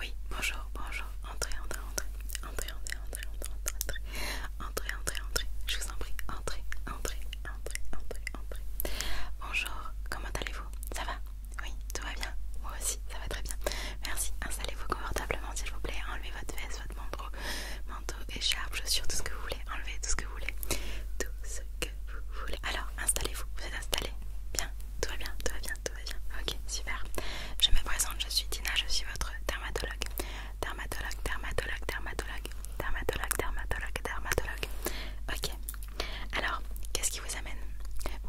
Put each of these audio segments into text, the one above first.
Oui, bonjour, bonjour, entrez, entrez, entrez, entrez, entrez, entrez, entrez, entrez, entrez, entrez, je vous en prie, entrez, entrez, entrez, entrez, entrez. Bonjour, comment allez-vous Ça va Oui, tout va bien Moi aussi, ça va très bien. Merci, installez-vous confortablement s'il vous plaît, enlevez votre veste, votre manteau, manteau, écharpe, chaussures, tout ce que vous voulez, enlevez tout ce que vous voulez, tout ce que vous voulez. Alors, installez-vous, vous êtes installé Bien, tout va bien, tout va bien, tout va bien. Ok, super. Je me présente, je suis Tina, je suis votre dermatologue. Dermatologue, dermatologue, dermatologue, dermatologue, dermatologue, dermatologue. Ok. Alors, qu'est-ce qui vous amène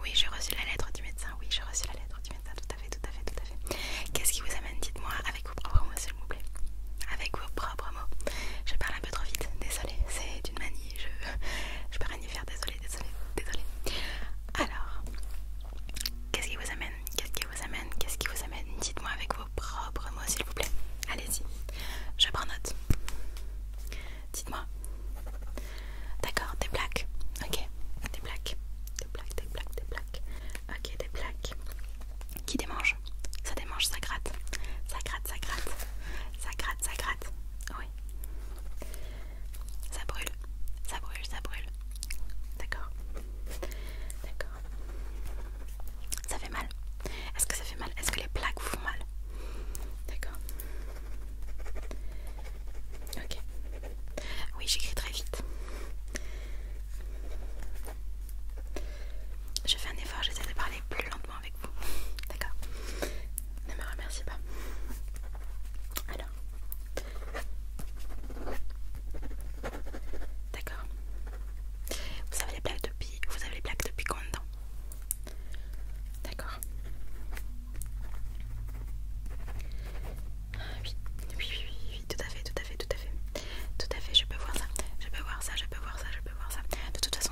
Oui, j'ai reçu la lettre du médecin. Oui, j'ai reçu la lettre du médecin. Tout à fait, tout à fait, tout à fait. Qu'est-ce qui vous amène Dites-moi avec vos propres mots, s'il vous plaît. Avec vos propres je parle un peu trop vite, désolé, c'est une manie, je, peux rien y faire, désolé, désolée, désolée. Alors, qu'est-ce qui vous amène Qu'est-ce qui vous amène Qu'est-ce qui vous amène Dites-moi avec vos propres mots, s'il vous plaît. Allez-y, je prends note. Dites-moi. D'accord, des plaques. Ok, des plaques. Des plaques, des plaques, des plaques. Ok, des plaques. Qui démange ça démange, ça gratte, ça gratte, ça gratte, ça gratte, ça gratte, oui. Ça brûle, ça brûle, ça brûle. D'accord, d'accord. Ça fait mal. Est-ce que ça fait mal Est-ce que les plaques vous font mal D'accord. Ok. Oui, j'écris très vite. Je fais un effort, j'essaie de parler plus longtemps avec vous. D'accord Ne me remercie pas. Alors. D'accord. Vous avez les plaques depuis. Vous avez les plaques depuis combien de temps D'accord. Ah oui. Oui, oui, oui, oui, tout à fait, tout à fait, tout à fait. Tout à fait, je peux voir ça. Je peux voir ça, je peux voir ça, je peux voir ça. De toute façon,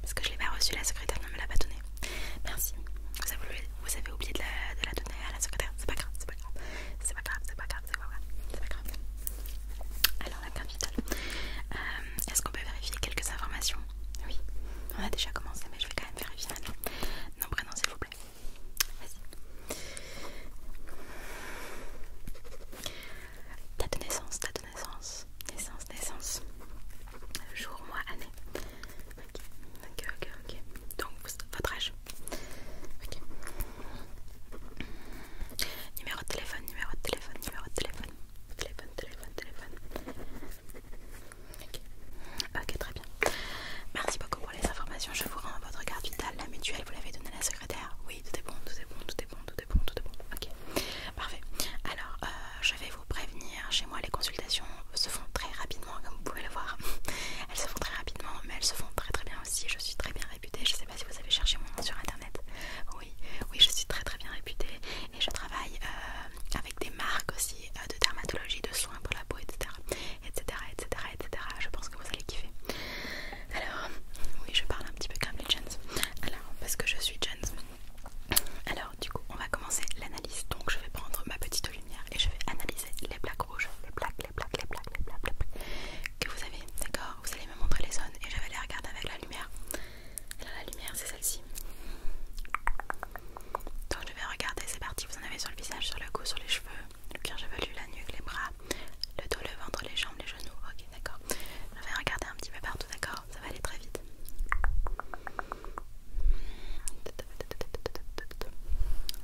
parce que je l'ai pas reçue, la secrétaire ne me l'a pas donnée. Merci. Vous avez, oublié de la, donner à la secrétaire. C'est pas grave, c'est pas grave. C'est pas grave, c'est pas grave, c'est pas grave. Alors la carte vitale. Euh, est-ce qu'on peut vérifier quelques informations Oui. On a déjà commencé, mais je vais quand même vérifier maintenant. Non, prénom s'il vous plaît. Vas-y. Date de naissance, date naissance, naissance, naissance, jour, mois, année. Ok, ok, ok, Donc votre âge. Ok. Numéro de téléphone, numéro de téléphone, numéro de téléphone. Téléphone, téléphone, téléphone. Ok. Ok, très bien. Merci beaucoup pour les informations. Je vous rends votre carte vitale, la mutuelle. Vous l'avez donnée à la secrétaire. Oui, tout est bon, tout est bon, tout est bon, tout est bon bon, tout de bon. Ok, parfait. Alors, euh, je vais vous prévenir. Chez moi, les consultations se font très rapidement, comme vous pouvez le voir. elles se font très rapidement, mais elles se font très très bien aussi. Je suis très bien réputée. Je sais pas si vous avez cherché mon nom sur internet. Oui, oui, je suis très très bien réputée et je travaille euh, avec des marques aussi euh, de dermatologie, de soins pour la peau, etc., etc., etc., etc. Je pense que vous allez kiffer. Alors, oui, je parle un petit peu comme les gens. Alors, parce que je suis gens alors du coup on va commencer l'analyse. Donc je vais prendre ma petite lumière et je vais analyser les plaques rouges, les plaques, les plaques, les plaques, les plaques, les que vous avez, d'accord Vous allez me montrer les zones et je vais les regarder avec la lumière. Alors la lumière c'est celle-ci. Donc je vais regarder, c'est parti, vous en avez sur le visage, sur le cou, sur les cheveux, le veux chevelu, la nuque, les bras, le dos, le ventre, les jambes, les genoux, ok d'accord. Je vais regarder un petit peu partout, d'accord ça va aller très vite.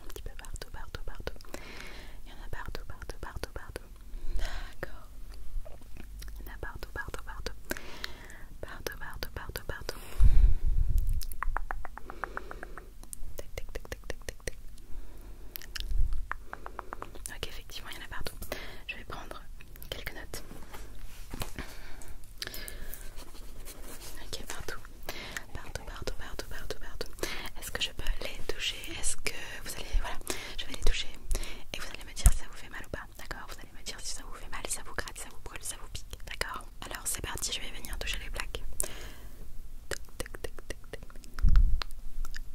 Un petit peu partout, partout, partout. Il y en a partout, partout, partout, partout. D'accord. Il y en a partout, partout, partout. Partout, partout, partout, partout. tac, tac, tac, tac, tac, Ok, effectivement, il y en a partout. Je vais prendre quelques notes. Ok, partout. Partout, partout, partout, partout, Est-ce que je peux les toucher Est-ce que vous allez... Voilà, je vais les toucher. Et vous allez me dire si ça vous fait mal ou pas. D'accord Vous allez me dire si ça vous fait mal, si ça vous gratte, ça vous brûle, ça vous pique. D'accord Alors c'est parti, je vais venir toucher les plaques.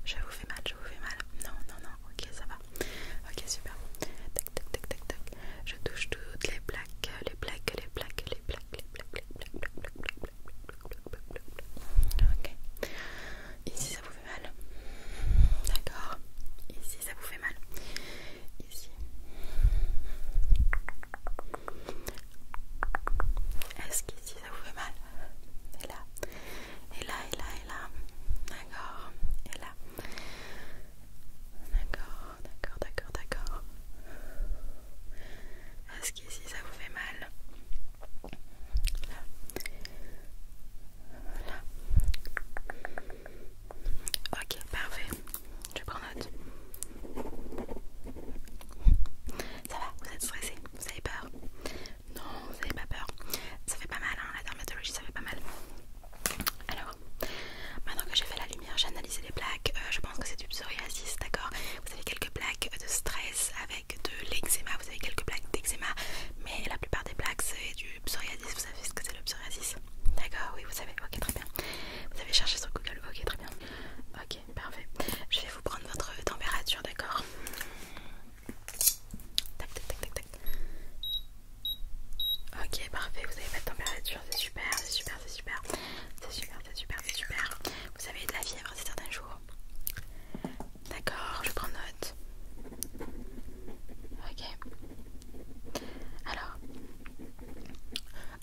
Je vous fais mal, ça vous fait mal. Non, non, non, ok, ça va. Ok, super. Tac, tac, tac, tac, Je touche toutes les plaques, les plaques, les plaques, les plaques, les plaques, les plaques, Ok. Ici, ça vous fait mal. D'accord. Ici, ça vous fait mal. Ici. Est-ce qu'ici ça vous fait mal Et là et là, et là, et là. D'accord. Et là. D'accord, d'accord, d'accord, d'accord. Est-ce qu'ici ça vous fait mal Là. Ok, parfait. Je prends note. Ça va, vous êtes stressé, vous avez peur. Non, vous n'avez pas peur. Ça fait pas mal, hein, la dermatologie, ça fait pas mal. Alors, maintenant que j'ai fait la lumière, j'ai analysé les plaques. Euh, je pense que c'est du psoriasis, d'accord Vous avez quelques plaques de stress avec de l'eczéma. Vous avez quelques plaques d'eczéma, mais la plupart des plaques, c'est du psoriasis. Vous savez ce que c'est le psoriasis D'accord, oui, vous savez. Ok, très bien. Vous avez cherché sur Google. Ok, très bien. Ok, parfait. Je vais vous prendre votre température, d'accord Ok, parfait, vous avez pas de température, c'est super, c'est super, c'est super. C'est super, c'est super, c'est super. Vous avez de la fièvre, ces certains jours. D'accord, je prends note. Ok. Alors,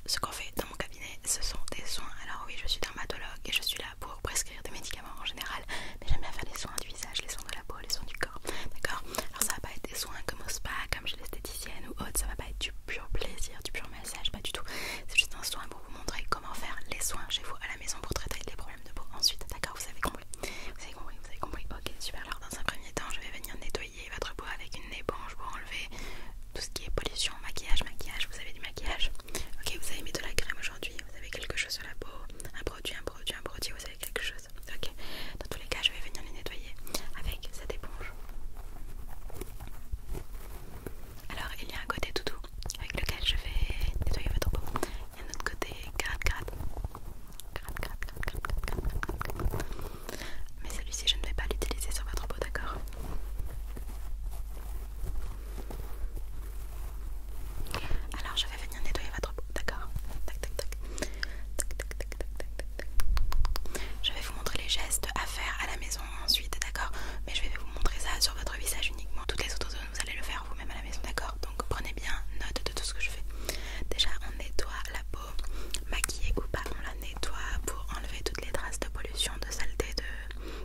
ce qu'on fait dans mon cabinet, ce sont des soins. Alors oui, je suis dermatologue et je suis là pour prescrire des médicaments en général, mais j'aime bien faire les soins du visage, les soins de la peau, les soins du corps, d'accord Alors ça va pas être des soins comme au spa, comme chez l'esthéticienne ou autre, ça va pas être du pur plaisir, du pur massage, pas du tout. C'est juste un soin pour vous montrer comment faire les soins chez vous à la maison pour traiter les problèmes de peau ensuite, d'accord Vous avez compris Vous avez compris, vous avez compris Ok, super, alors dans un premier temps, je vais venir nettoyer votre peau avec une éponge pour enlever tout ce qui est pollution, maquillage, maquillage, vous avez du maquillage Ok, vous avez mis de la crème aujourd'hui, vous avez quelque chose sur la peau, un produit, un produit, un produit, vous avez quelque chose Ok, dans tous les cas, je vais venir les nettoyer avec cette éponge. Alors, il y a un côté tout avec lequel je vais nettoyer votre peau. Il y a un autre côté grat, grat, grat, grat, Mais celui-ci, je ne vais pas l'utiliser sur votre peau, d'accord alors venir nettoyer votre peau, d'accord tac tac tac. Je vais vous montrer les gestes à faire à la maison ensuite, d'accord Mais je vais vous montrer ça sur votre visage uniquement. Toutes les autres zones, vous allez le faire vous-même à la maison, d'accord Donc prenez bien note de tout ce que je fais. Déjà, on nettoie la peau, maquillée ou pas, on la nettoie pour enlever toutes les traces de pollution, de saleté,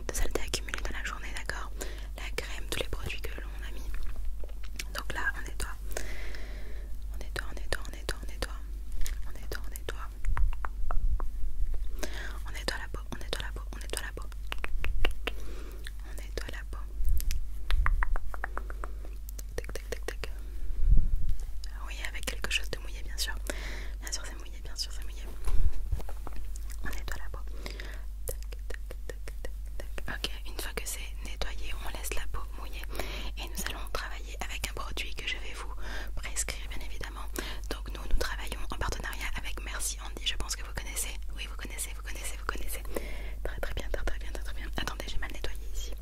de saleté accumulée dans la journée, d'accord la crème, tous les produits que l'on a mis. Donc là, on nettoie. On nettoie, on nettoie, on nettoie, on nettoie. On nettoie, on nettoie. On nettoie la peau, on nettoie la peau, on nettoie la peau. On nettoie la peau. Tac, tac, tac, tac ah Oui, avec quelque chose de mouillé, bien sûr. Bien sûr, c'est mouillé, bien sûr, c'est mouillé. On nettoie la peau. Tac, tac, tac, tac, tac. Une fois que c'est nettoyé, on laisse la peau mouillée et nous allons travailler avec un produit que je vais vous prescrire bien évidemment. Donc nous, nous travaillons en partenariat avec Merci Andy, je pense que vous connaissez. Oui, vous connaissez, vous connaissez, vous connaissez. Très très bien, très très bien, très très bien. Attendez, j'ai mal nettoyé ici.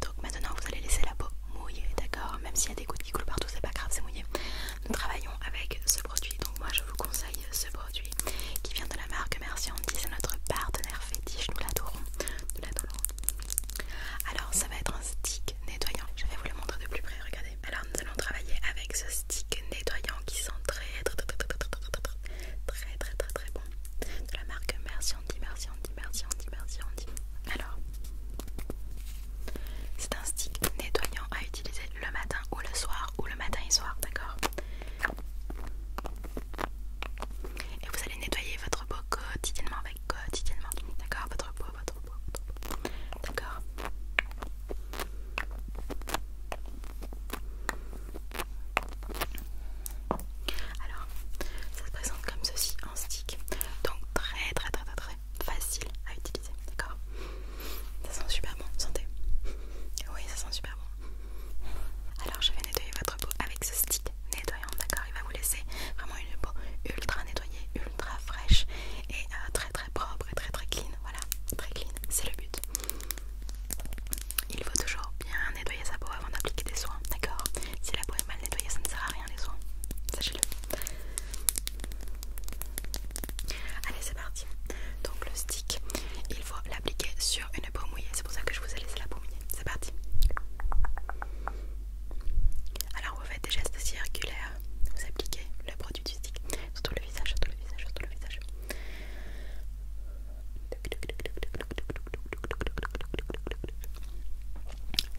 Donc maintenant, vous allez laisser la peau mouillée, d'accord Même s'il y a des gouttes qui coulent partout, c'est pas grave, c'est mouillé. Nous travaillons avec ce donc moi je vous conseille ce produit qui vient de la marque Merci Andy, c'est notre partenaire fétiche, nous l'adorons, nous l'adorons. Alors ça va être un stick nettoyant. Je vais vous le montrer de plus près, regardez. Alors nous allons travailler avec ce stick nettoyant qui sent très très très très très très bon de la marque Merci Merci Merci Merci Alors c'est un stick nettoyant à utiliser le matin ou le soir ou le matin et soir, d'accord Et vous allez nettoyer votre peau quotidiennement avec quotidiennement, d'accord Votre peau, votre peau, votre peau, d'accord alors, ça se présente comme ceci en stick, donc très très très très, très facile à utiliser, d'accord ça sent super bon, sentez. Oui, ça sent super bon. Alors je vais nettoyer votre peau avec ce stick nettoyant, d'accord Il va vous laisser vraiment une peau ultra nettoyée, ultra fraîche et euh, très très propre et très très clean. Voilà, très clean, c'est le but. Il faut toujours bien nettoyer sa peau avant d'appliquer des soins, d'accord Si la peau est mal nettoyée, ça ne sert à rien les soins, sachez-le. Allez, c'est parti. Donc le stick, il faut l'appliquer sur une peau mouillée. C'est pour ça que je vous ai laissé la peau mouillée. C'est parti. Alors vous faites des gestes circulaires. Vous appliquez le produit du stick sur tout le visage, sur tout le visage, sur tout le visage.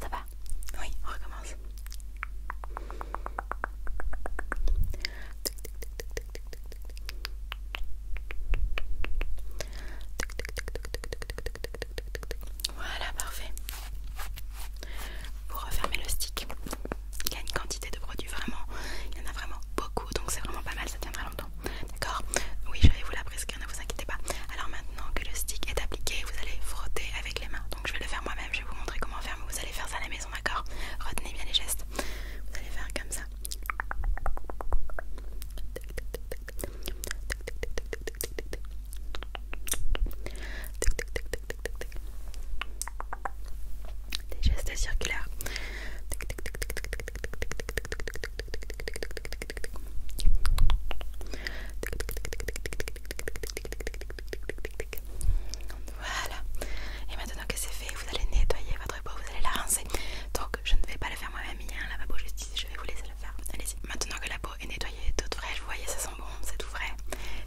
Ça va Oui, on recommence. Voilà, parfait. Pour refermer le stick, il y a une quantité de produits vraiment, il y en a vraiment beaucoup, donc c'est vraiment pas mal, ça tiendra longtemps. D'accord Oui, je vais vous la prescrire, ne vous inquiétez pas. Alors maintenant que le stick est appliqué, vous allez frotter avec les mains. Donc je vais le faire moi-même, je vais vous montrer comment faire, mais vous allez faire ça à la d'accord Retenez bien les gestes. Vous allez faire comme ça. Des gestes circulaires. Voilà. Et maintenant que c'est fait, vous allez nettoyer votre peau, vous allez la rincer. Donc je ne vais pas le faire moi-même, il y a un lavabo juste ici, je vais vous laisser le faire. Allez-y. Maintenant que la peau est nettoyée, tout vrai, vous voyez, ça sent bon, c'est tout vrai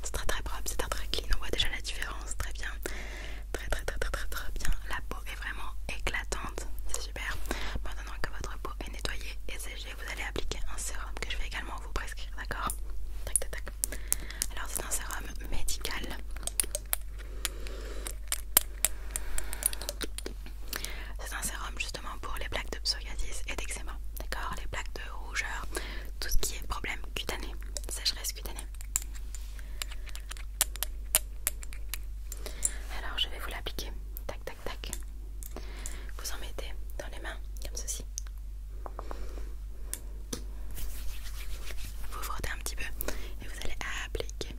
C'est très très propre, c'est très très clean, on voit déjà la différence, très bien. Très très très très très bien. La peau est vraiment éclatante, c'est super. Maintenant que votre peau est nettoyée et séchée, vous allez appliquer un sérum que je vais également vous prescrire, d'accord Tac tac alors c'est un sérum médical. C'est un sérum justement pour les plaques de psoriasis et d'eczéma, d'accord Les plaques de rougeur, tout ce qui est problème cutané, sécheresse cutanée. Alors je vais vous l'appliquer, tac tac tac. Vous en mettez dans les mains comme ceci. Vous frottez un petit peu et vous allez appliquer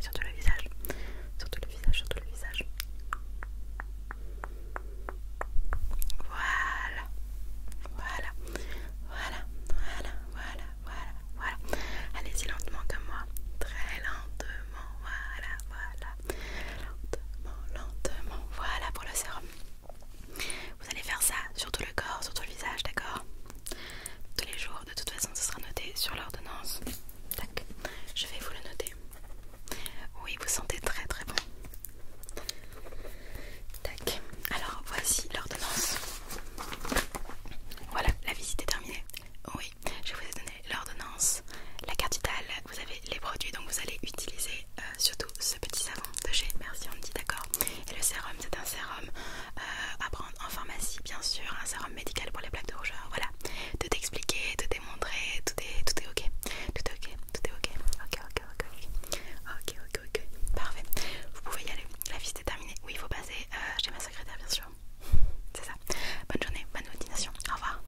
sur tout le visage, sur tout le visage, sur tout le visage. Voilà, voilà, voilà, voilà, voilà, voilà, voilà. Allez-y lentement comme moi, très lentement. Voilà, voilà, Lentement, lentement. Voilà pour le sérum. Vous allez faire ça sur tout le corps, sur tout le visage, d'accord Tous les jours, de toute façon, ce sera noté sur l'ordonnance. Tac, je vais vous le noter. Oui, vous sentez très très bon. Tac, alors voici l'ordonnance. Voilà, la visite est terminée. Oui, je vous ai l'ordonnance, la carte vitale, vous avez les produits, donc vous allez utiliser euh, surtout ce petit savon de chez Merci, on dit d'accord. Et le sérum, c'est un sérum euh, à prendre en pharmacie, bien sûr, un sérum médical pour les plaques de rougeur. Voilà, tout est expliqué, tout est montré, tout est, tout est ok, tout est ok, tout est ok, ok, ok, ok, ok, ok, ok, ok, parfait. Vous pouvez y aller, la visite est terminée. Oui, il faut passer euh, chez ma secrétaire, bien sûr. C'est ça. Bonne journée, bonne continuation. Au revoir.